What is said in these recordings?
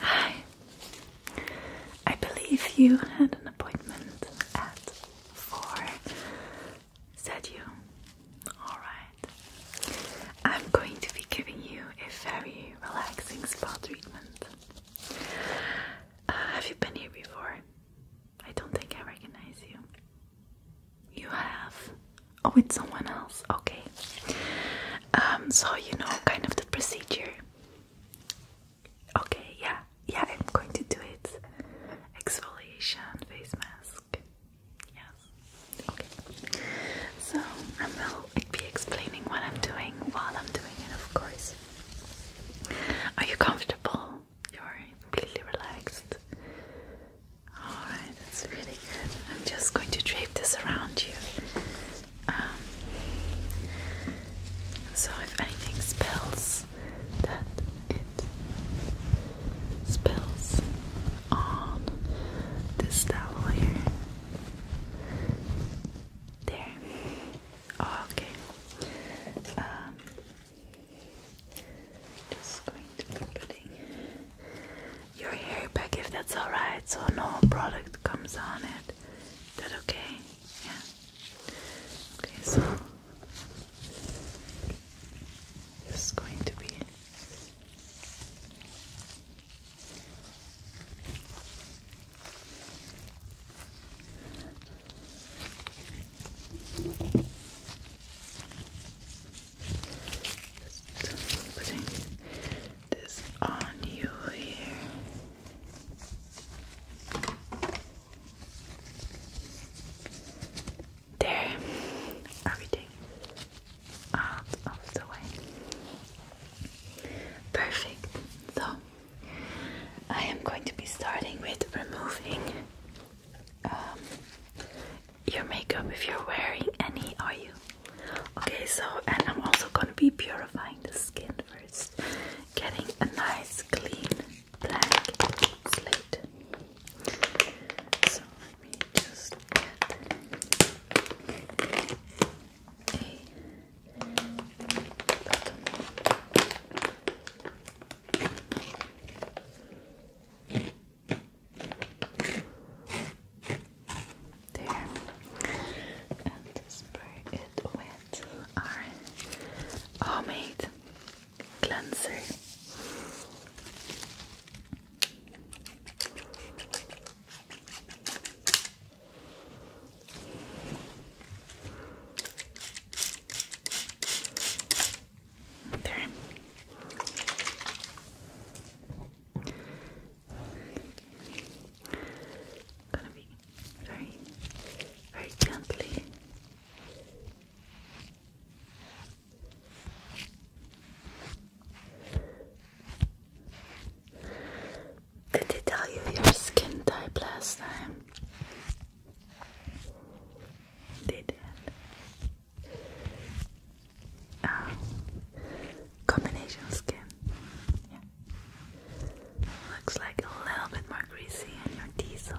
Hi. I believe you had an appointment at four. Said you. Alright. I'm going to be giving you a very relaxing spa treatment. Uh, have you been here before? I don't think I recognize you. You have? Oh, it's someone else. Okay. Um, so you know kind of the procedure. Okay, yeah, yeah, I'm going to do it. Exfoliation, face mask. Yes. Okay. So I will be explaining what I'm doing while I'm doing it, of course. Are you comfortable? You're completely relaxed. Alright, that's really good. I'm just going to drape this around you um, so if anything spills, that it spills on this towel here. There. Oh, okay. Um, just going to be putting your hair back if that's alright, so no product comes on it. Is that okay? Yeah. Okay, so this going to be putting this on you here. There, everything out of the way. Perfect. So, I am going to be starting with removing um, your makeup if you're wearing any. Are you? Okay, so and I'm also gonna be purifying the skin first, getting a nice clean slate. So let me just get there. And spray it with our homemade cleanser. There gonna be very, very gently did they tell your skin type last time? They did. Uh, combination skin. Yeah. Looks like a little bit more greasy in your T zone,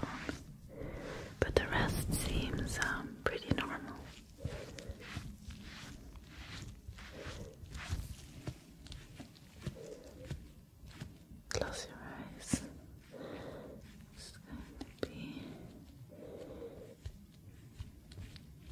but the rest seems um, pretty normal. Close your eyes.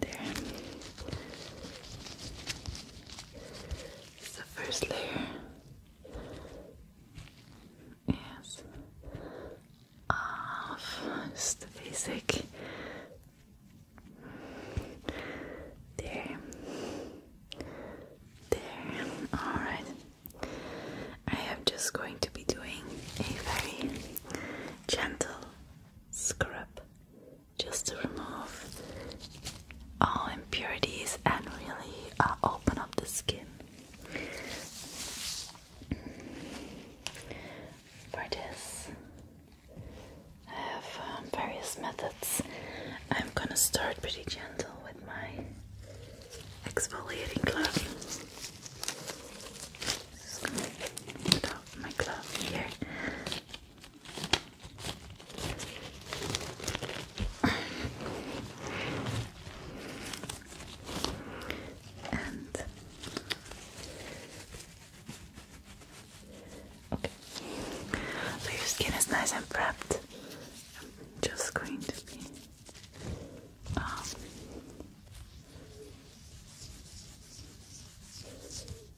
There. It's the first layer. Yes. Off. Just the basic. There. There. Alright. I am just going to be doing a very gentle scrub just to remove all impurities and really uh, open up the skin. For this, I have um, various methods. I'm gonna start pretty gentle with my exfoliating glove. Just my glove here and okay, so your skin is nice and prepped. I'm just going to be um,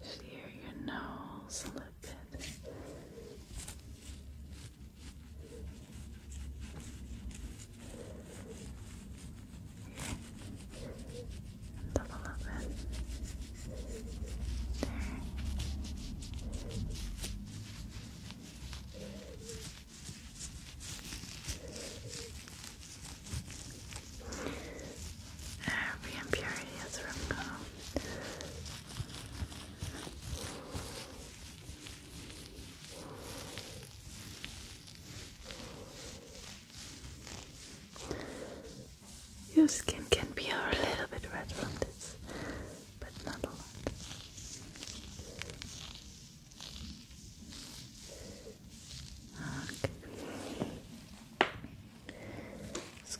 Just hear your nose a little bit. And double up There. Every impurity is removed. Your skin can be a little bit red from this, but not a lot. Okay.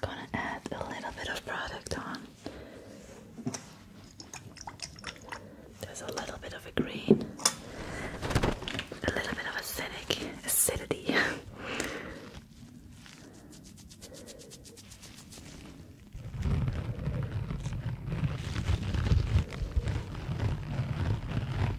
gonna add a little bit of product on. There's a little bit of a green, a little bit of acidic acidity.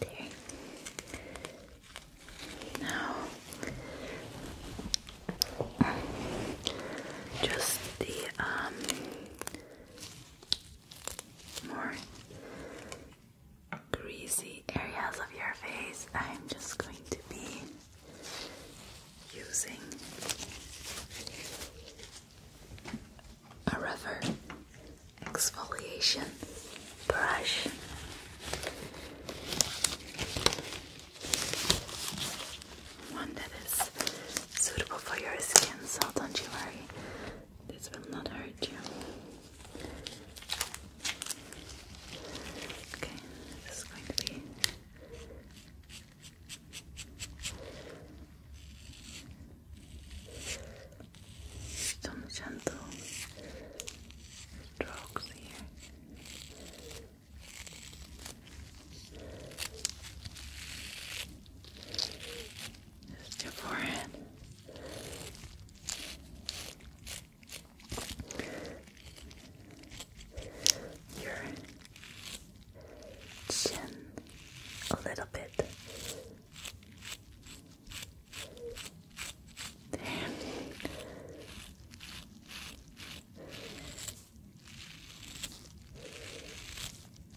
There. Now, just the um more greasy areas of your face, I'm just going to be using a rubber exfoliation brush. One that is suitable for your skin, so don't you worry this will not hurt you. Okay, this is going to be some gentle strokes here. Just your forehead your chin a little bit. There's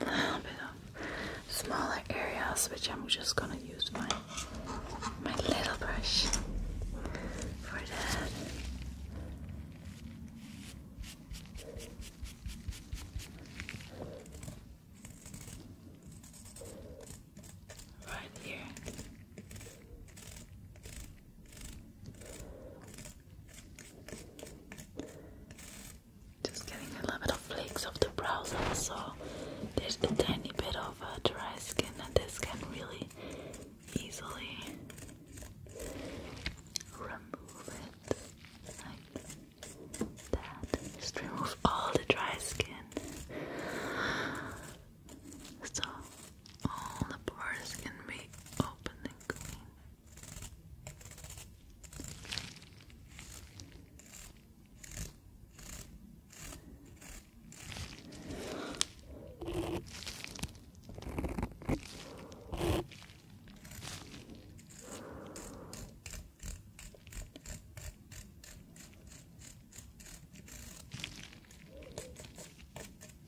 a little bit of smaller areas which I'm just gonna use my my little brush for that right here. Just getting a little flakes off the brows also. There's a tiny bit of uh, dry skin and this can really easily remove it that just remove all the dry skin. So all the pores can be open and clean.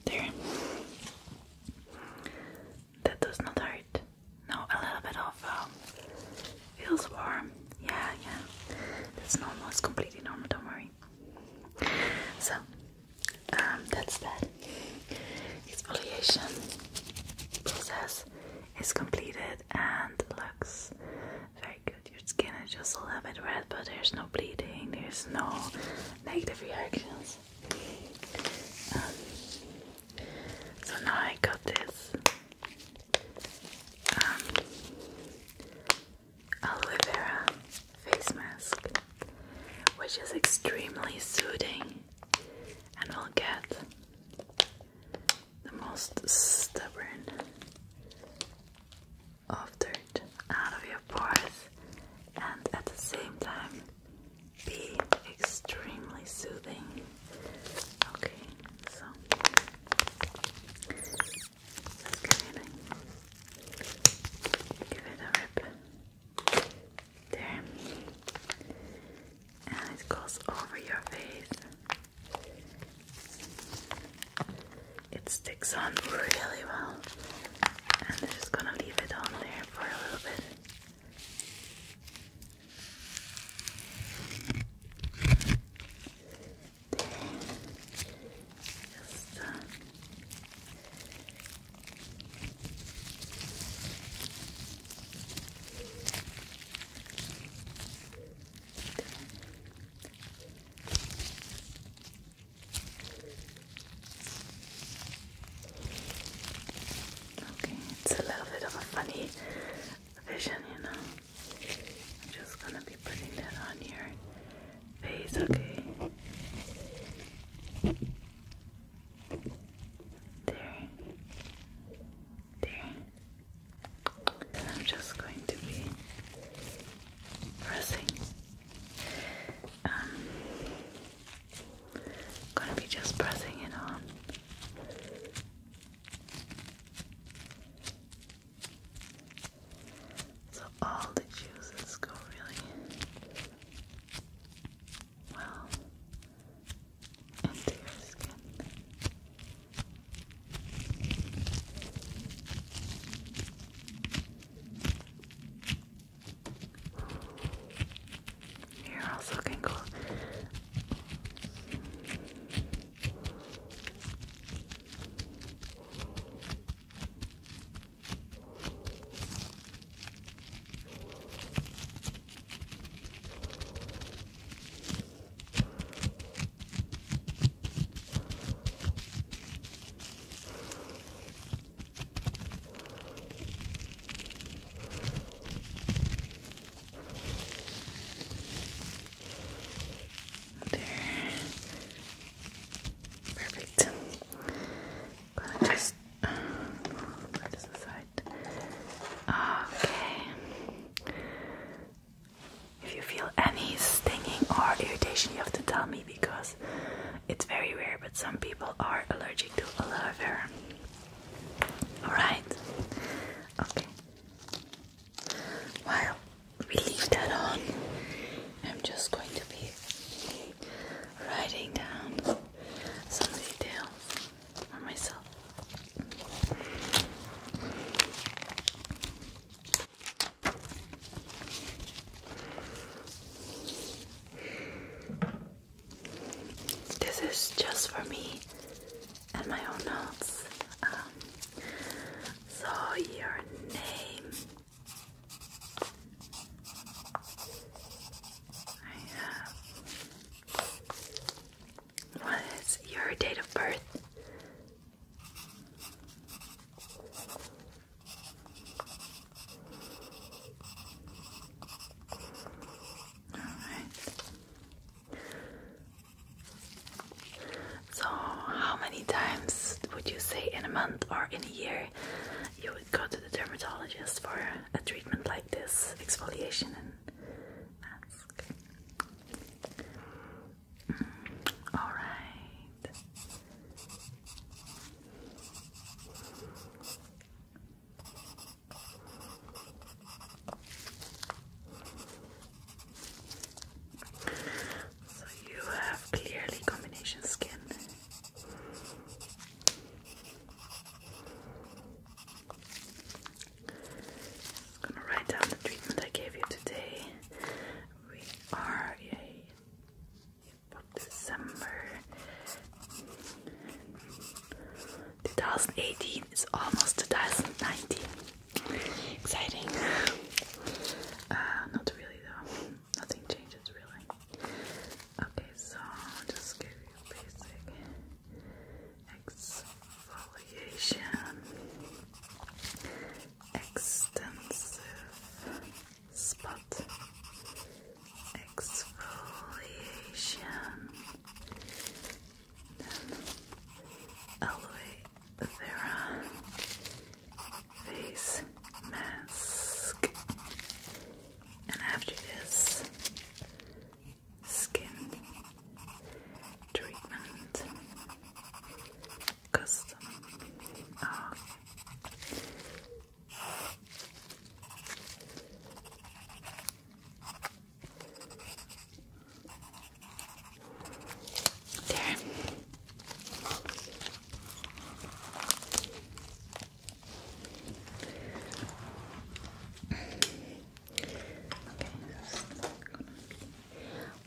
There. That does not hurt. No, a little bit of um, feels warm. Yeah, yeah. That's normal. It's completely normal. Don't worry. So, um, that's that. Exfoliation process is completed and looks very your skin is just a little bit red, but there's no bleeding, there's no negative reactions. Um, so now I got this um, aloe vera face mask, which is extremely soothing and will get the most stubborn of dirt out of your pores and at the same time be extremely soothing. Okay, so let's give it a, give it a rip. There. And it goes over your face. It sticks on really well. And I'm just gonna leave it on there for a little bit. Uh, Okay, it's a little bit of a funny vision, you know. I'm just gonna be putting that on your face, okay? There. There. And I'm just going to be pressing. Um, gonna be just pressing it on. So all the juices go really well into your skin. Here also can go there. Perfect. going just uh, put this aside. Okay. If you feel any stinging or irritation, you have to tell me because it's very rare, but some people are allergic to aloe vera. Alright? Okay. While we leave that on, I'm just going to be writing down some details for myself. This is just for me and my own notes. Um, so, your name. I have what is your date of birth? All right. So, how many times would you say in a month or in a year you would go to the dermatologist for a treatment like this exfoliation and mask? All right. So you have clearly combination skin. I'm gonna write down the treatment I gave you today. We are yay, December 2018 It's almost 2019. Exciting. Uh, not really though. Nothing changes really. Okay, so just give you basic Exfoliation Extensive Spot Exfoliation Then Aloe Vera Face Mask and after this, skin treatment custom uh, oh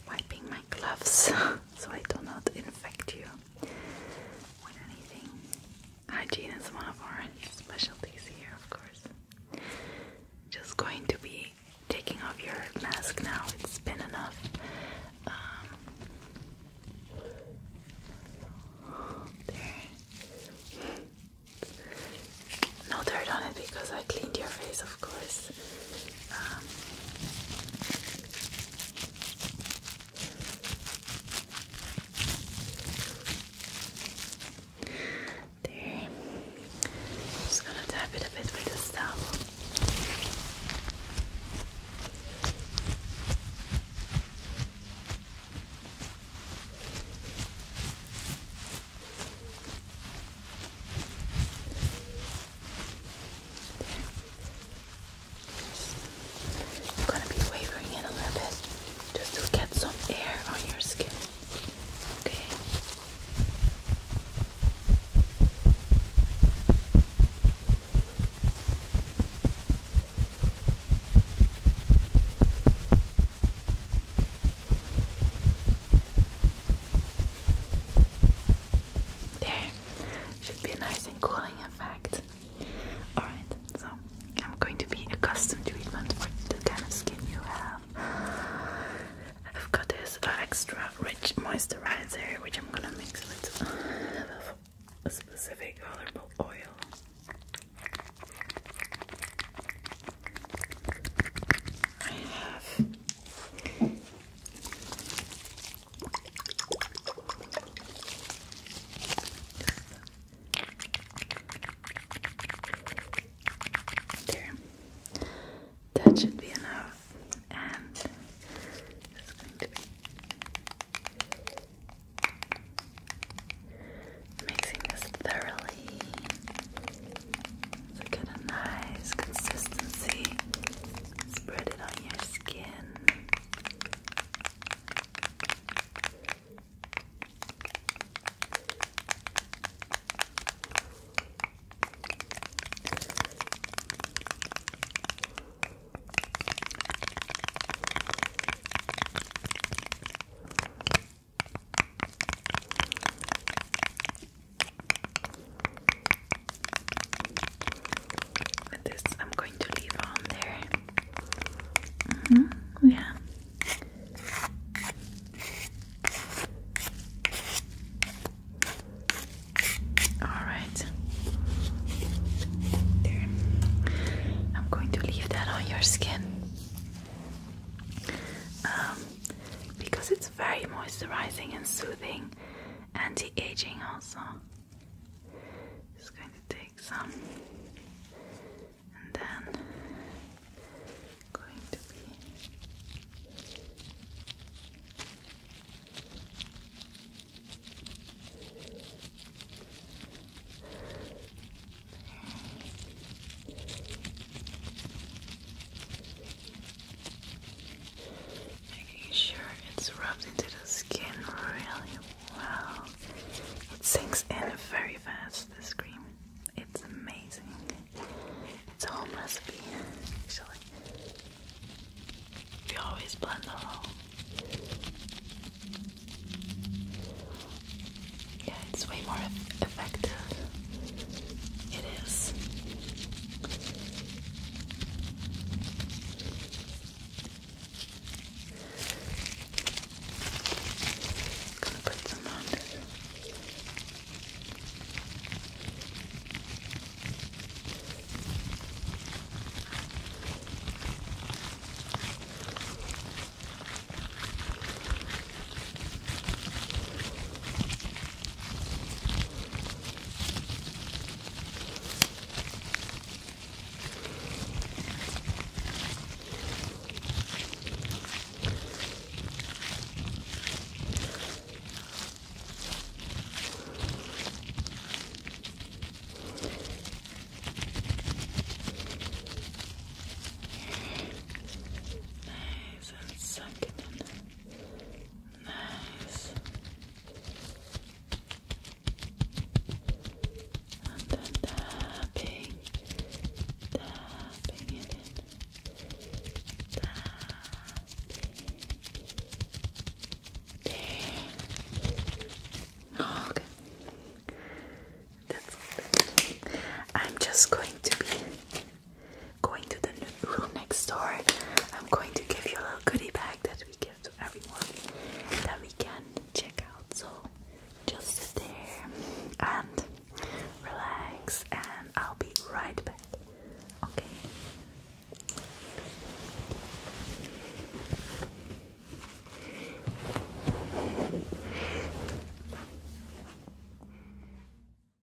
wiping my gloves so I do not infect you with Hygiene is one of our specialties here, of course. Just going to be taking off your mask now, it's been enough. Um, there no dirt on it because I cleaned your face, of course. Um, there. just gonna tap it a bit with this towel. I'm gonna be wavering it a little just to get some air on your skin. Okay. There, should be a nice and cooling effect. Alright, so I'm going to be a custom treatment for the kind of skin you have. I've got this uh, extra rich moisturizer which I'm gonna mix with a specific colorful oil. I have that should be enough. And it's going to be mixing this thoroughly. So get nice consistency. Spread it on your skin. I'm going to leave on there. Mm-hmm. Yeah. All right. There. I'm going to leave that on your skin. Um, because it's very moisturizing and soothing, anti aging also. Just going to take some and then going to be. Making sure it's rubbed into the skin really well. It sinks in very fast, this cream. It's amazing. It's a home actually. We always blend the whole. Yeah, it's way more effective it is. put some on. Nice and sunken in. Nice. And then tapping, tapping it Tapping. There. Oh, okay. That's I'm just going to be going to the room next door, I'm going to give you a little goodie bag that we give to everyone that we can check out. So just stay and relax, and I'll be right back. Okay.